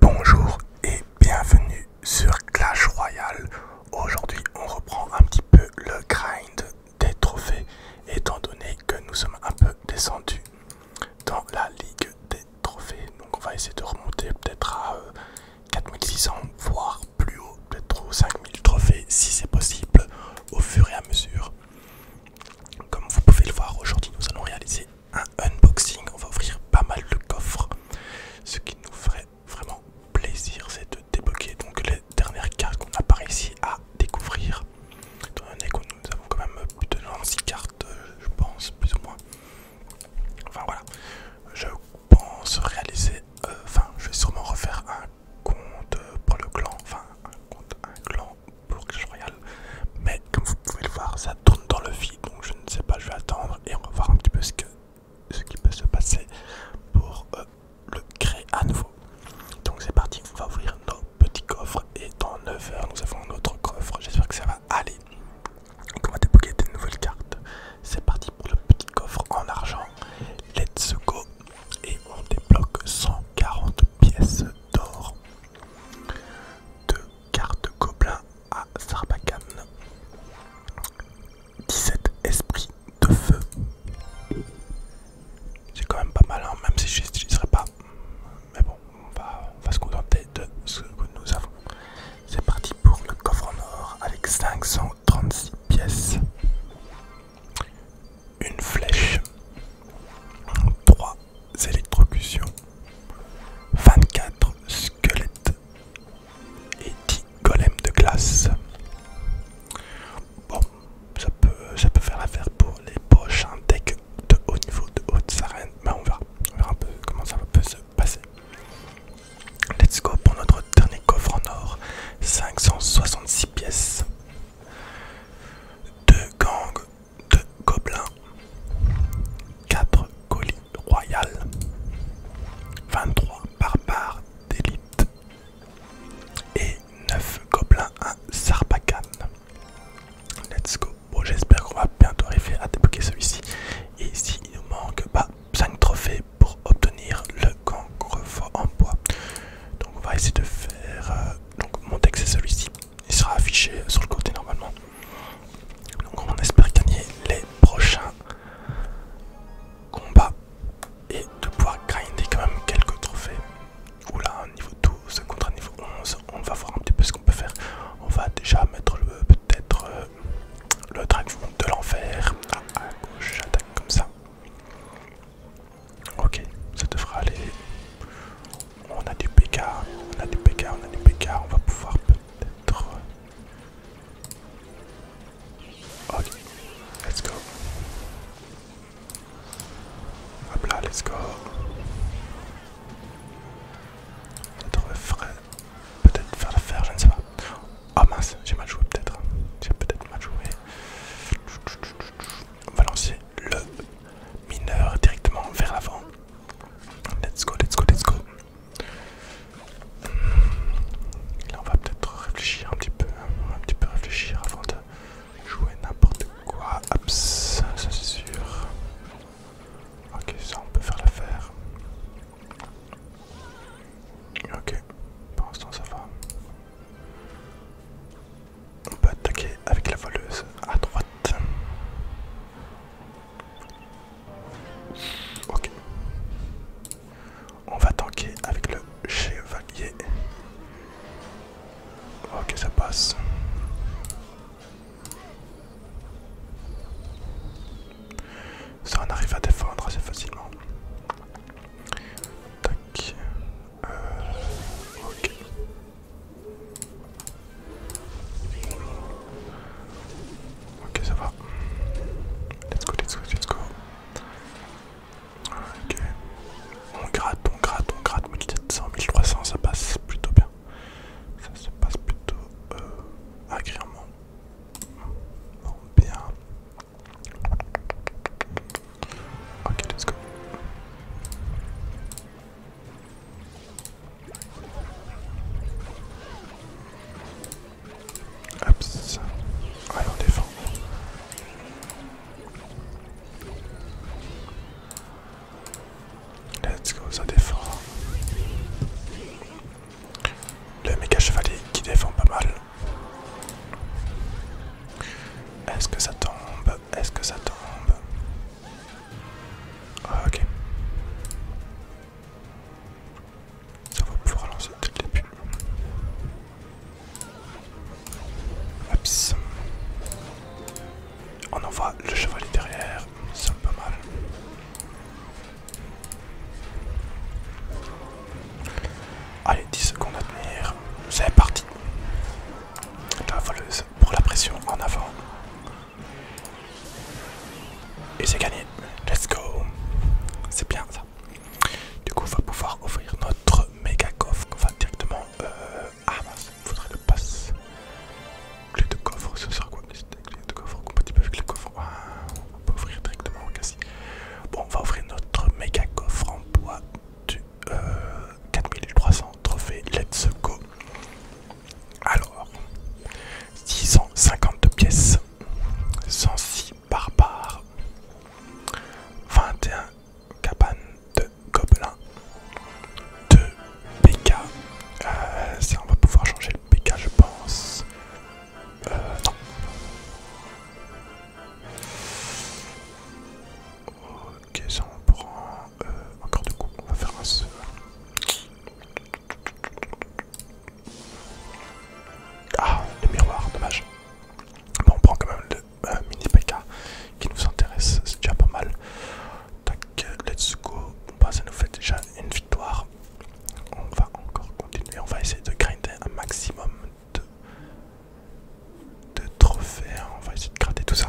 Bonjour et bienvenue sur Clash Royale. Aujourd'hui on reprend un petit peu le grind des trophées étant donné que nous sommes un peu descendus dans la ligue des trophées. Donc on va essayer de remonter peut-être à 4600 euh, voire plus haut, peut-être 5000 trophées si c'est possible au fur et à mesure. Comme vous pouvez le voir aujourd'hui nous allons réaliser un unboxing. On va ouvrir pas mal de coffres. Ce qui nous ferait vraiment plaisir, c'est de débloquer donc les dernières cartes qu'on a par ici à découvrir. on est nous avons quand même plus de six cartes, euh, je pense, plus ou moins. Enfin voilà, je pense réaliser. Euh, enfin, je vais sûrement refaire un compte pour le clan. Enfin, un compte, un clan pour que je regarde mais comme vous pouvez le voir, ça tourne dans le vide, donc je ne sais pas, je vais attendre et on va voir un petit peu ce, qui peut se passer pour euh, le créer à nouveau. Donc c'est parti, on va ouvrir nos petits coffres et dans 9 heures nous avons notre coffre, j'espère que ça va aller. Donc on va débloquer des nouvelles cartes. C'est parti pour le petit coffre en argent. Let's go et on débloque 140 pièces d'or. De carte gobelin à Sarbacane. 17 esprits de feu. C'est quand même pas mal, hein, même si je n'utiliserai pas. Mais bon, on va, on va se contenter de ce que nous avons. C'est parti pour le coffre en or avec 536 pièces. Une flèche. 3 électrocution, 24 squelettes et 10 golems de glace. Bon, ça peut, ça peut faire l'affaire pour les prochains hein. decks de haut niveau, de haute arènes, Mais ben, on verra, verra un peu comment ça peut se passer. Let's go pour notre dernier coffre en or 566 pièces. de gang 2 gobelins, 4 colis royales, 23 barbares d'élite et 9 gobelins à Sarbacane. Let's go. Bon, j'espère qu'on va bientôt arriver à débloquer celui-ci. Et ici, il nous manque 5 bah, trophées pour obtenir le fort en bois. Donc, on va essayer de faire. Euh, donc, mon texte c'est celui-ci il sera affiché sur le côté normalement. Donc on espère gagner les prochains combats et de pouvoir grinder quand même quelques trophées. Oula, niveau 12 contre un niveau 11, on va voir un petit peu ce qu'on peut faire. On va déjà mettre peut-être euh, le dragon de l'enfer à gauche, j'attaque comme ça. Ok, ça devrait aller. On a du PK, on a du PK, on a du PK, on va pouvoir peut-être... Ok, let's go. Hop là, let's go. Notre frais. peut-être faire l'affaire, je ne sais pas. Oh mince, j'ai mal joué peut-être. J'ai peut-être mal joué. On va lancer le mineur directement vers l'avant. Let's go, let's go, let's go. Hmm. Là, on va peut-être réfléchir un petit peu, hein. un petit peu réfléchir avant de jouer n'importe quoi. ça c'est sûr. Ok, ça on peut faire l'affaire. Ok, pour l'instant ça va. On peut attaquer avec la voleuse à droite. On va tanker avec le chevalier. Ok, ça passe. Ça, on arrive à défendre assez facilement. Tac. Euh, Ok, ça va. Let's go, let's go, let's go. Ok. On gratte, on gratte, on gratte. 100, 1300, ça passe plutôt bien. Ça se passe plutôt euh, agréablement. bien. Ok, let's go. Ah, on défend. Let's go, ça défend. Le méga chevalier qui défend pas mal. Est-ce que ça tombe Est-ce que ça tombe ah, ok. Ça va pouvoir lancer toutes les début. On envoie le chevalier derrière, c'est pas mal. Allez, 10 secondes à tenir. C'est parti. La voleuse pour la pression en avant. Et c'est gagné. Let's go. C'est bien ça. Du coup, on va pouvoir ouvrir notre méga coffre. On va directement. Euh... Ah mince, il faudrait le passe. Clé de coffre, ce sera quoi Clé de coffre compatible avec le coffre. On peut ouvrir directement au Bon, on va ouvrir notre méga coffre en bois 4300 euh, trophées Let's Go. Alors, 652 pièces, 106 barbares, 21 cabanes de gobelins, 2 pk euh, on va pouvoir changer le pk je pense. Euh, Ok, ça on prend euh, encore deux coups. On va faire un seul. Ah, le miroir, dommage. Bon, on prend quand même le euh, mini PK qui nous intéresse, c'est déjà pas mal. Tac, let's go. Bon, bah, ça nous fait déjà une victoire. On va encore continuer. On va essayer de grinder un maximum de, de trophées. On va essayer de gratter tout ça.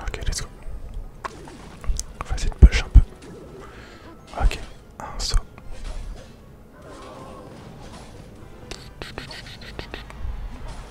Ok, les go. On va essayer de push un peu. Ok, un saut.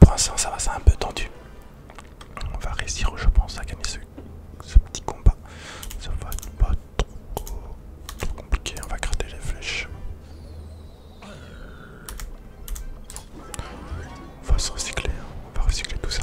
Pour l'instant, ça va, c'est un peu tendu. On va réussir, je pense, à gagner ce, petit combat. Ça va être pas trop, compliqué. On va gratter les flèches. On va se recycler, hein. on va recycler tout ça.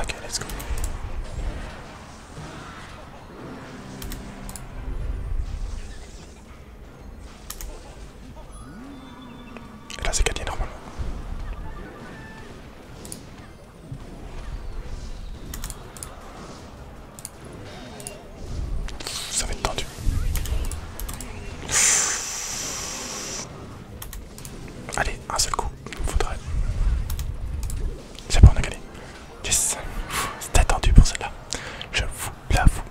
Ok, let's go. Et là c'est gagné normalement. Ça va être tendu. Allez, un seul coup, il faudrait. C'est bon, on a gagné. Yes, c'était attendu pour celle-là. Je vous l'avoue.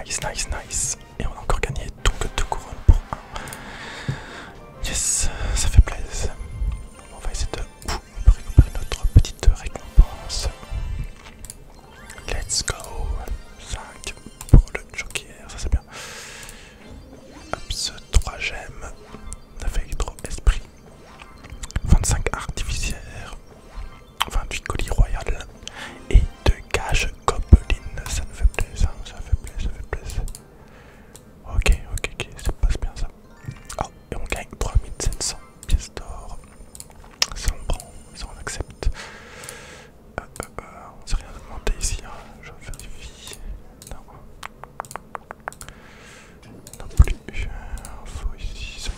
Nice, nice, nice. Et on a encore gagné donc deux couronnes pour un. Yes, ça fait plaisir. On va essayer de récupérer notre petite récompense. Let's go. 5 pour le joker, ça c'est bien. Hop, 3 j'aime fait électro esprit, 25 Artificiaires, 28 colis Royales et 2 Gages gobelines. Ça nous fait plaisir, ça fait plaisir, ça fait plaisir. Ok, ok, ok, ça passe bien ça. Oh, et on gagne 3700 pièces d'or. Ça on prend, ça on accepte. Euh, euh, euh on s'est rien ici, hein. je vérifie. Non. Non plus. Info ici, 5000.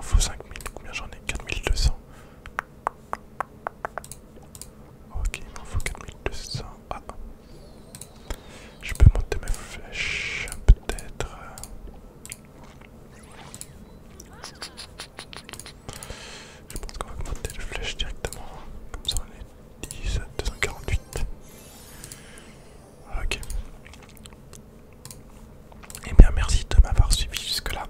5000, combien j'en ai 4200. Ok, il m'en faut 4200. Ah. Je peux monter mes flèches, peut-être. Je pense qu'on va monter les flèches directement. Comme ça, on est 10, 248. Ok. Et eh bien, merci de m'avoir suivi jusque-là.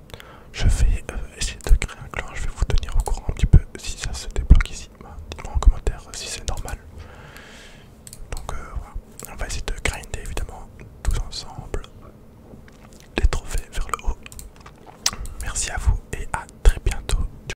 Je vais euh, essayer de créer un clan. Je vais vous tenir au courant un petit peu si ça se débloque ici. Bah, dites-moi en commentaire euh, si c'est normal. Donc, euh, voilà. On va essayer de grinder évidemment tous ensemble les trophées vers le haut. Merci à vous et à très bientôt.